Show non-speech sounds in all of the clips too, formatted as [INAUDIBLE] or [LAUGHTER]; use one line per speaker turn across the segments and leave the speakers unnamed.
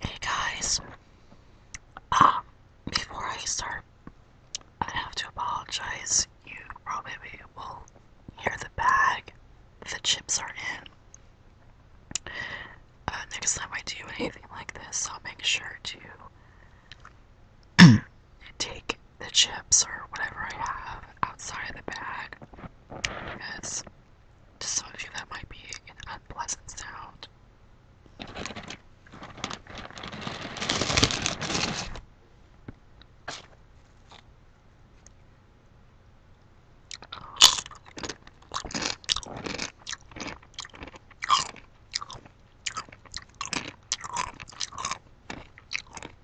Hey guys, uh, before I start, I have to apologize. You probably will hear the bag the chips are in. Uh, next time I do anything like this, I'll make sure to [CLEARS THROAT] take the chips or whatever I have outside of the bag because to some of you that might be an unpleasant sound.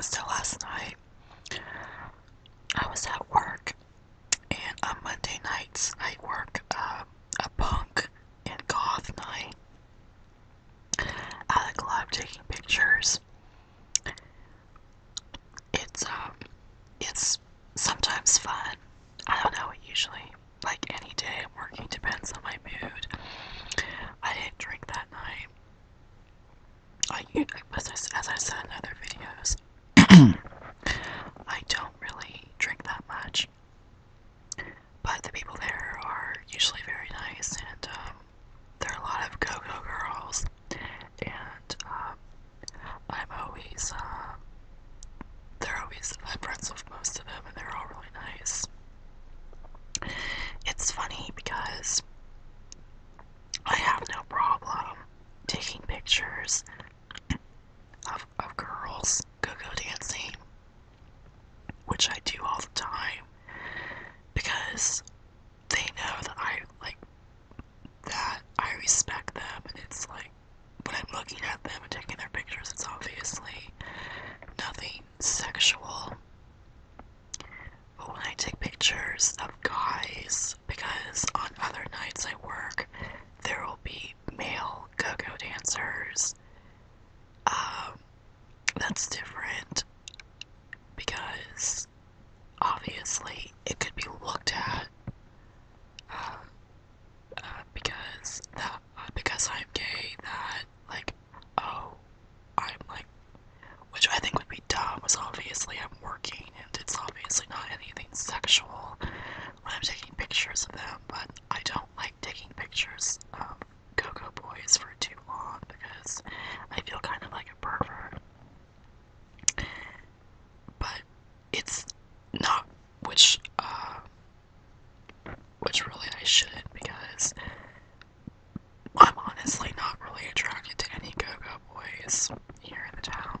So last night I was at work and on Monday nights I work uh, a punk and goth night Alec loved taking pictures. It's um, it's sometimes fun. I don't know. Usually, like any day working depends on my mood. I didn't drink that night. I, as I, as I said in other videos, [COUGHS] I don't really drink that much much. But the people there are usually very nice, and um, there are a lot of go go girls. And um, I'm always, uh, they're always, I'm friends with most of them, and they're all really nice. It's funny because I have no problem taking pictures of, of girls go go dancing which I do all the time because they know that I like that I respect them and it's like when I'm looking at them and taking their pictures it's obviously nothing sexual. But when I take pictures of guys, because on other nights I work, there will be male go-go dancers. Um, that's different because obviously it could be looked at uh, uh because that uh, because I'm gay that like oh I'm like which I think would be dumb was obviously I'm working and it's obviously not anything sexual when I'm taking pictures of them but I don't like taking pictures of um, Cocoa Boys for too long because I feel kind of like a pervert. But it's not which uh, which really I shouldn't because I'm honestly not really attracted to any go boys here in the town.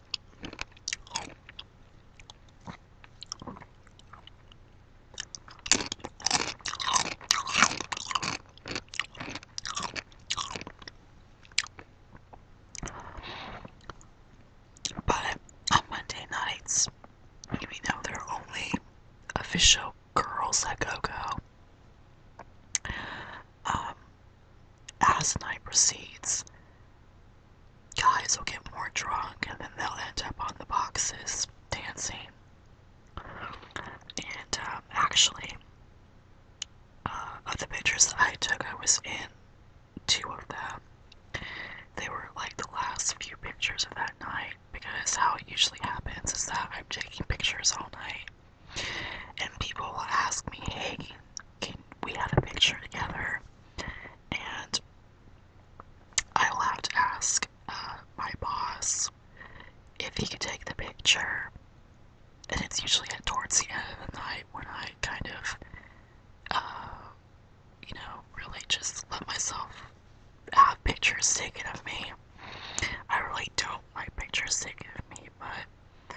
But on Monday nights, we know there are only official girls that go go. Um, as night proceeds, guys will get more drunk and then they'll end up on the boxes dancing. And um, actually, uh, of the pictures that I took, I was in two of them. They were like the last few pictures of that night because how it usually happens is that I'm taking pictures all night and people will ask me, hey, can we have a picture together? And I will have to ask uh, my boss if he could take the picture. And it's usually towards the end of the night when I kind of, uh, you know, really just let myself have pictures taken of me. I really don't like pictures taken of me, but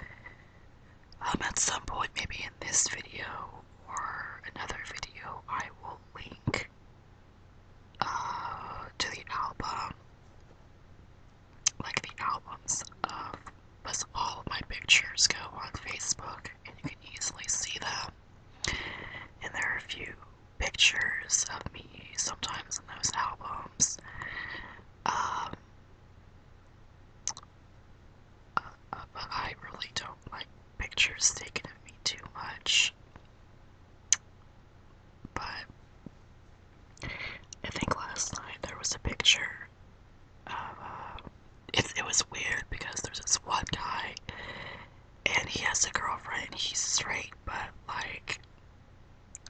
I'm um, at some point, maybe in this video or another video, I will link uh, to the album, like the albums of, because all my pictures go on Facebook and you can easily see them. And there are a few pictures of me sometimes in those albums. Um, but I really don't like pictures taken of me too much. But I think last night there was a picture of. Uh, it, it was weird because there's this one guy and he has a girlfriend. He's straight, but like.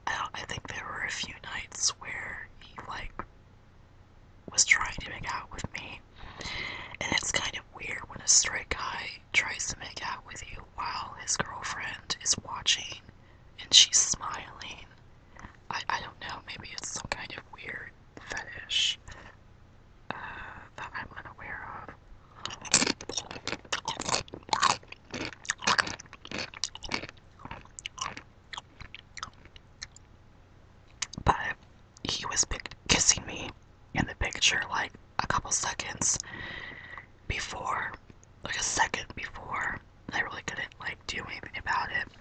I, I think there were a few nights where he like was trying to make out with me. And it's kind of weird when a straight guy tries to make out with you while his girlfriend is watching and she's smiling. I, I don't know, maybe it's some kind of weird fetish uh, that I'm unaware of. But he was kissing me in the picture like a couple seconds before, like a second before. I really couldn't like do anything about it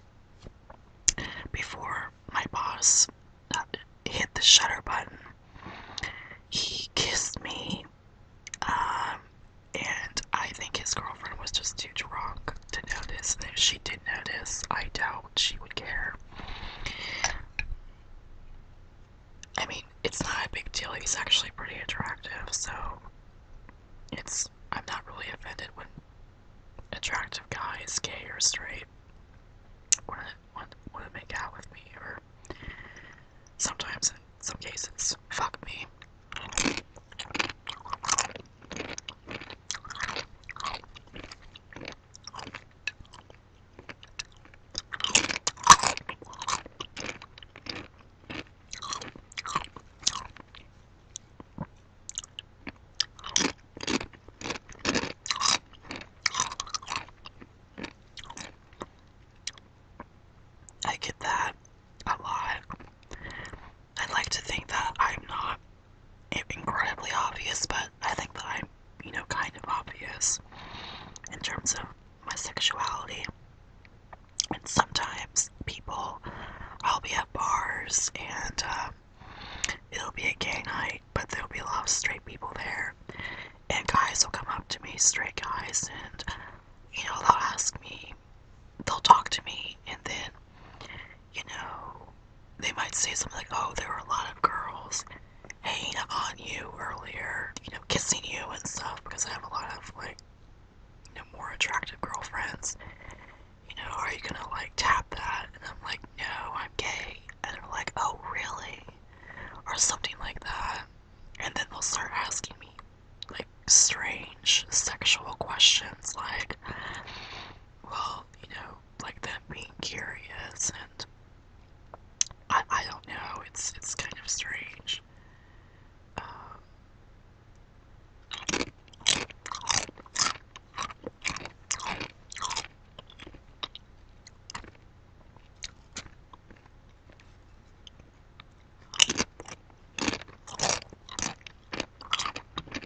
before my boss uh, hit the shutter button. He kissed me, um, and I think his girlfriend was just too drunk to notice. if she did notice, I doubt she would care. I mean, it's not a big deal. He's actually pretty attractive, so it's I'm not really offended when attractive guys, gay or straight, want want, want to make out with me, or sometimes in some cases, fuck me. I get that a lot. I'd like to think that I'm not incredibly obvious, but I think that I'm, you know, kind of obvious in terms of my sexuality. And sometimes people, I'll be at bars and uh, it'll be a gay night, but there'll be a lot of straight people there. And guys will come up to me, straight guys, and, you know, they'll ask me, they'll talk to me, and then, you know, they might say something like, oh, there were a lot of girls hanging on you earlier, you know, kissing you and stuff, because I have a lot of, like, you know, more attractive girlfriends. You know, are you gonna, like, tap that? And I'm like, no, I'm gay. And they're like, oh, really? Or something like that. And then they'll start asking me, like, strange sexual questions, like, well, you know, like them being curious and I, I don't know, it's it's kind of strange.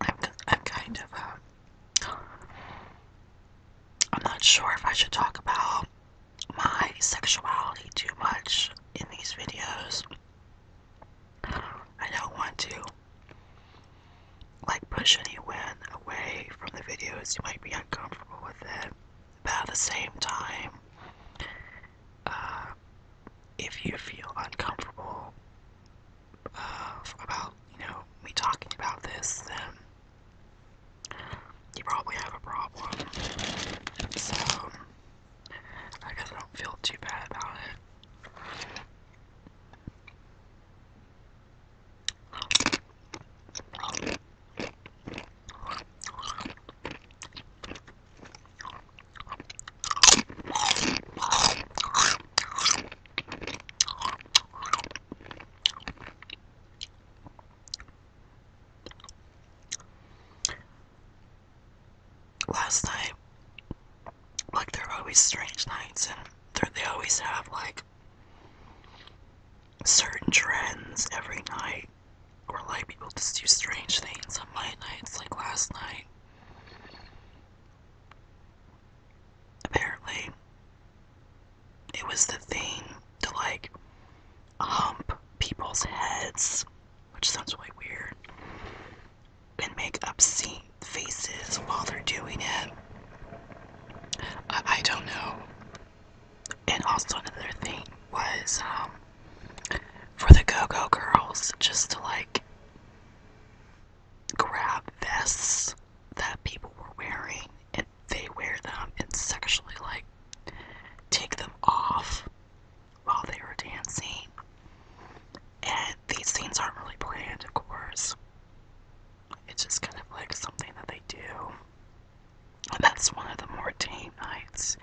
I'm, I'm kind of, uh, I'm not sure if I should talk about my sexuality too much in these videos. I don't want to, like, push anyone away from the videos. You might be uncomfortable with it. About the same time, uh, if you feel uncomfortable uh, about you know me talking about this, then you probably have a problem. So I guess I don't feel too bad about it. Last night, like there are always strange nights, and they always have like certain trends every night, or like people just do strange things on my nights, like last night. Apparently, it was the thing to like hump people's heads, which sounds really weird, and make obscene faces while they're doing it. I, don't know. And also, another thing was um, for the Go Go Girls just to like grab vests that people were wearing and they wear them and sexually like take them off while they were dancing. And these scenes aren't really planned, of course. It's just kind of like something that they do. And that's one of the more tame nights.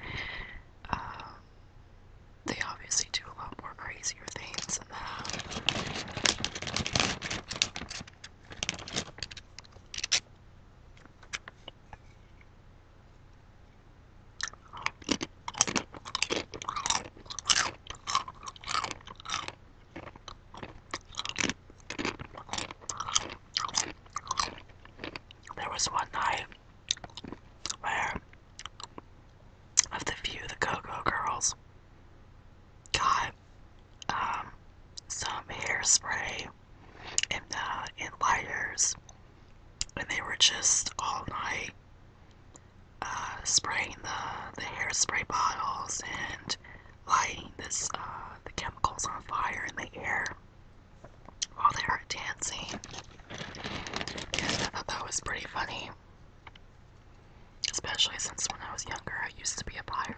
Um, they obviously do a lot more crazier things than that. There was one night where of the few the Coco Girls got um, some hairspray and uh, and they were just all night uh, spraying the hairspray bottles and lighting this uh, the chemicals on fire in the air while they were dancing. I thought that was pretty funny. Especially since when I was younger, I used to be a pyro.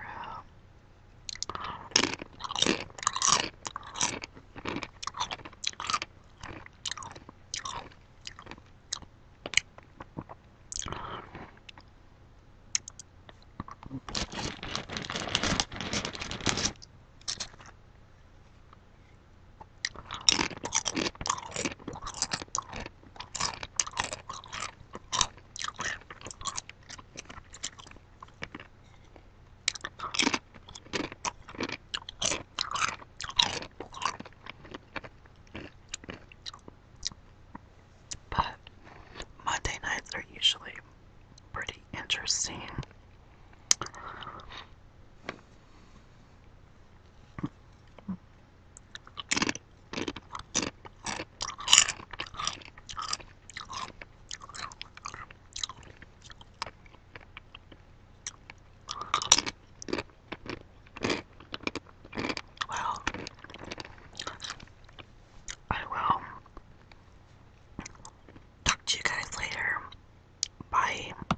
But Monday nights are usually pretty interesting. Well, I will talk to you guys later. Bye.